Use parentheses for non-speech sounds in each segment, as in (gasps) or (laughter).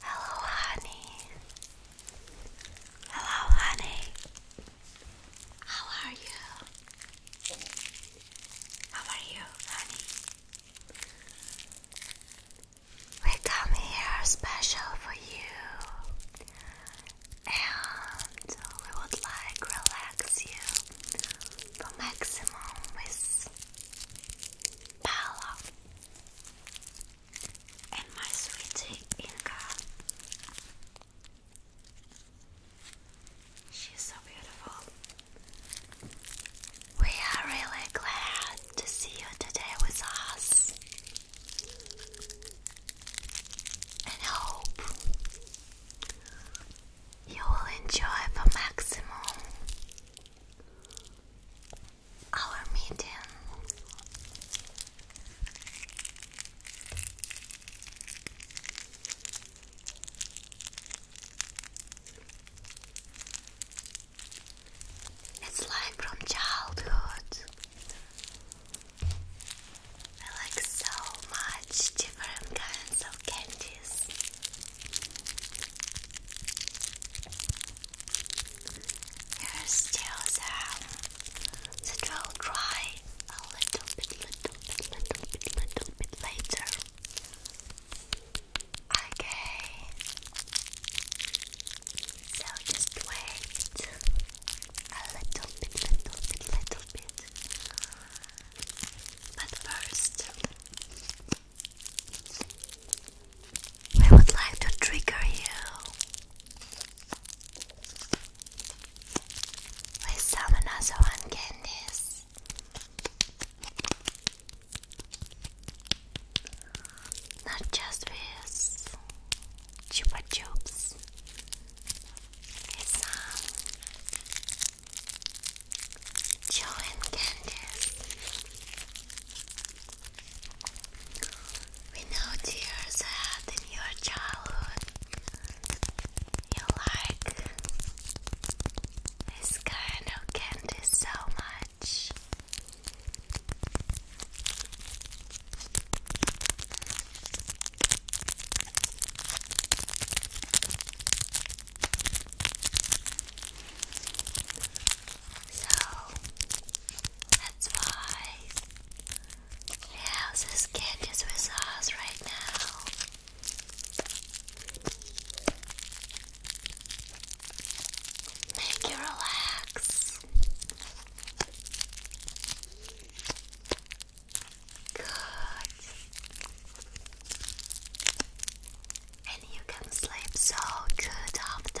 Hello, honey. Hello, honey. How are you? How are you, honey? We come here special for you, and we would like relax you for maximum with Paula and my sweetie Inga. She's so beautiful. We are really glad to see you today with us and hope you will enjoy the maximum our meeting. It's like from childhood. I like so much different kinds of candies. There's still some that will dry a little bit, little bit, little bit, little bit later. Okay. So just wait a little bit, little bit, But first, we would like to trigger you with some Nazoan candies. Not just with Chupa Chups. It's chewing uh, candies. We know tears that in your childhood you like this kind of candy so much. So that's why she has this candies with us right now. Make you relax. Good. And you can sleep so good after.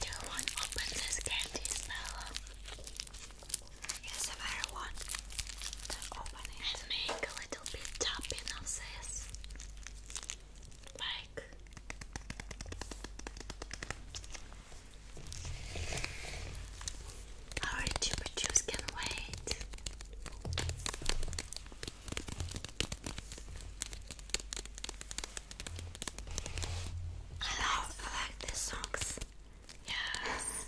Do you want to open this candy smell? Yes, if I want to open it. And make a little bit tapping of Like. Our super can wait. I love, I like these songs. Yes.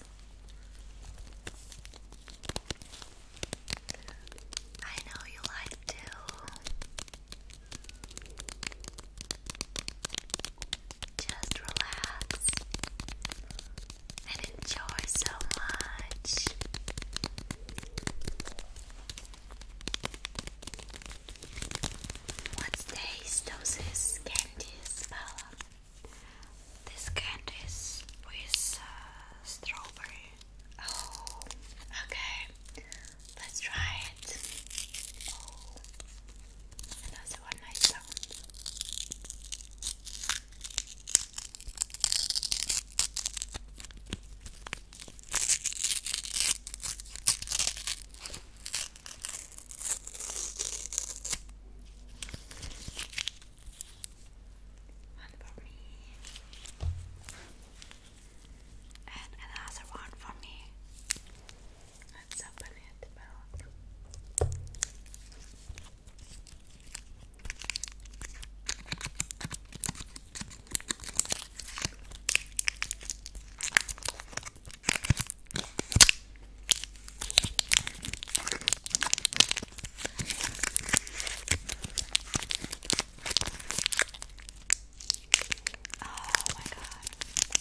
I know you like to. Just relax and enjoy so much. What taste does this candy smell? This candy is with uh, strawberry. Oh, okay. Let's try it. Oh, another one I found. One for me, and another one for me. Let's open it both. Oh my god,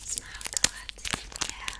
smell good, yeah.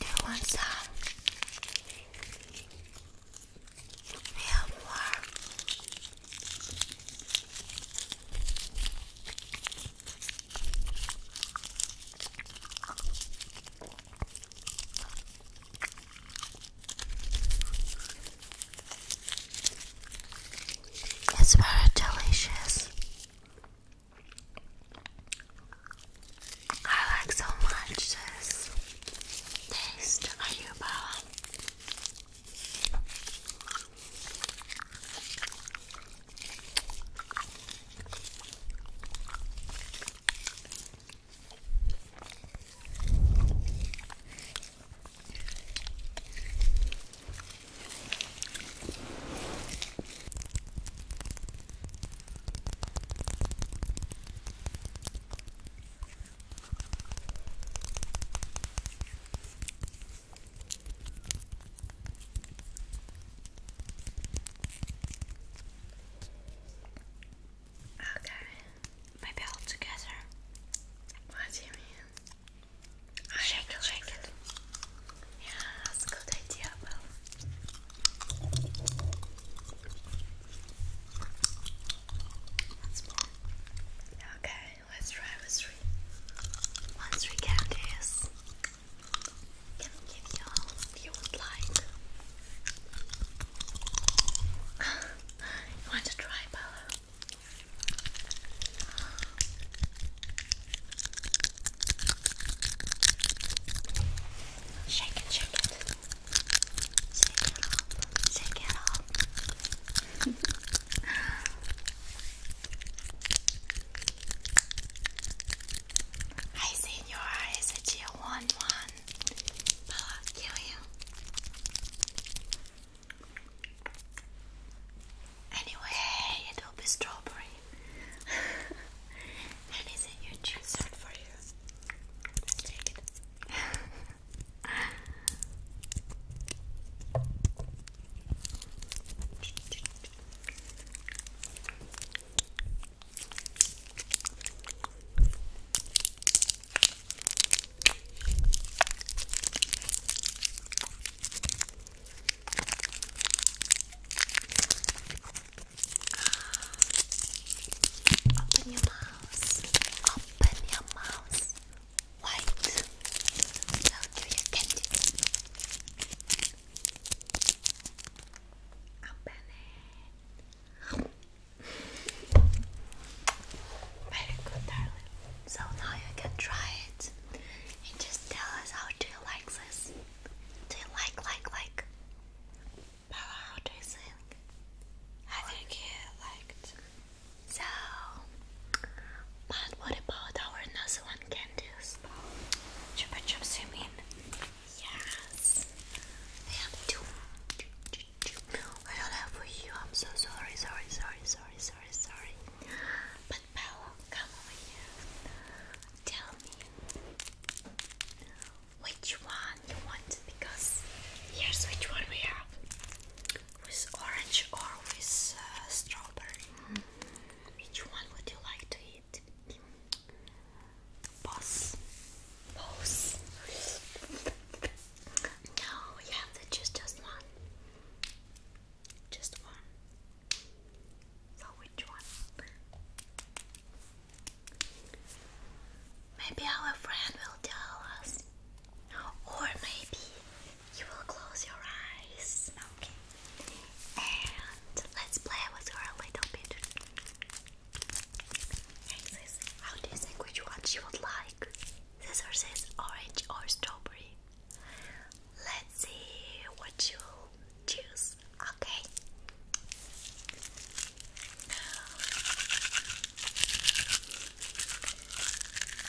Do you want some? We It's very delicious. I like so much this taste of ayuba. Okay, maybe all together. What do you mean? shake it, shake it. Yeah, that's a good idea, Bo. Okay, let's try with three. One, three candies. Can I give you all you would like? (laughs) want to try, Bella? Shake it, shake it. Shake it up, shake it up. (laughs) I see in your eyes one. I'll kill you. Anyway, it will be strawberry. (laughs) and is choose for you? Let's take it. (laughs) Open your mouth. Open your mouth. White. So do you get it? Open it. Very good, darling. So now you can try it and just tell us how do you like this? Do you like like like? how do you think? I think you liked. So, but what about our another one candies? Chupa chups, you mean? Yes, we have I don't have for you. I'm so sorry, sorry, sorry, sorry, sorry, sorry. But come over here. Tell me which one you want because here's which one we have with orange or with uh, strawberry. Mm-hmm. Which one would you like to eat? Boss. Boss. No, you have to choose one. Just one. So which one? Maybe our friend will tell us. Or maybe you will close your eyes. Okay. And let's play with her a little bit. How do you think which one she would like? This or orange or strawberry? Let's see what you choose. Okay.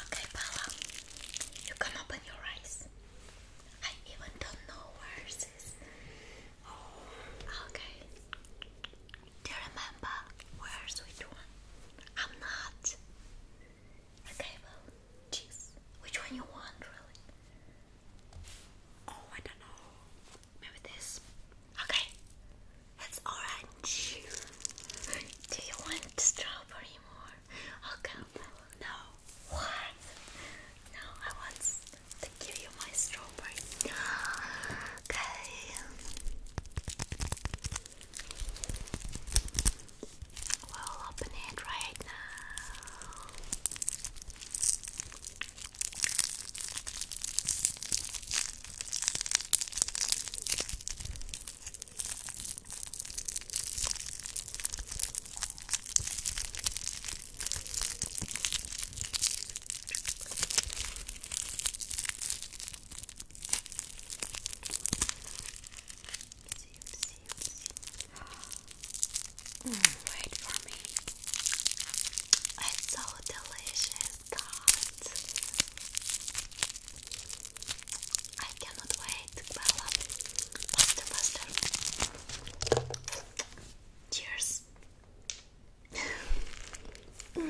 Okay, Paula, you can open your eyes. I even don't know where this is. Oh, okay. Do you remember where's which one? I'm not. Okay, well, cheese. Which one you want, really? Oh, I don't know. Maybe this. Okay, it's orange. (laughs) Do you want strawberry more? Okay, no. What? No, I want to give you my strawberry. (gasps) Okay. We'll open it right now wait for me. It's so delicious, God. I cannot wait. Bella, faster, faster. Cheers.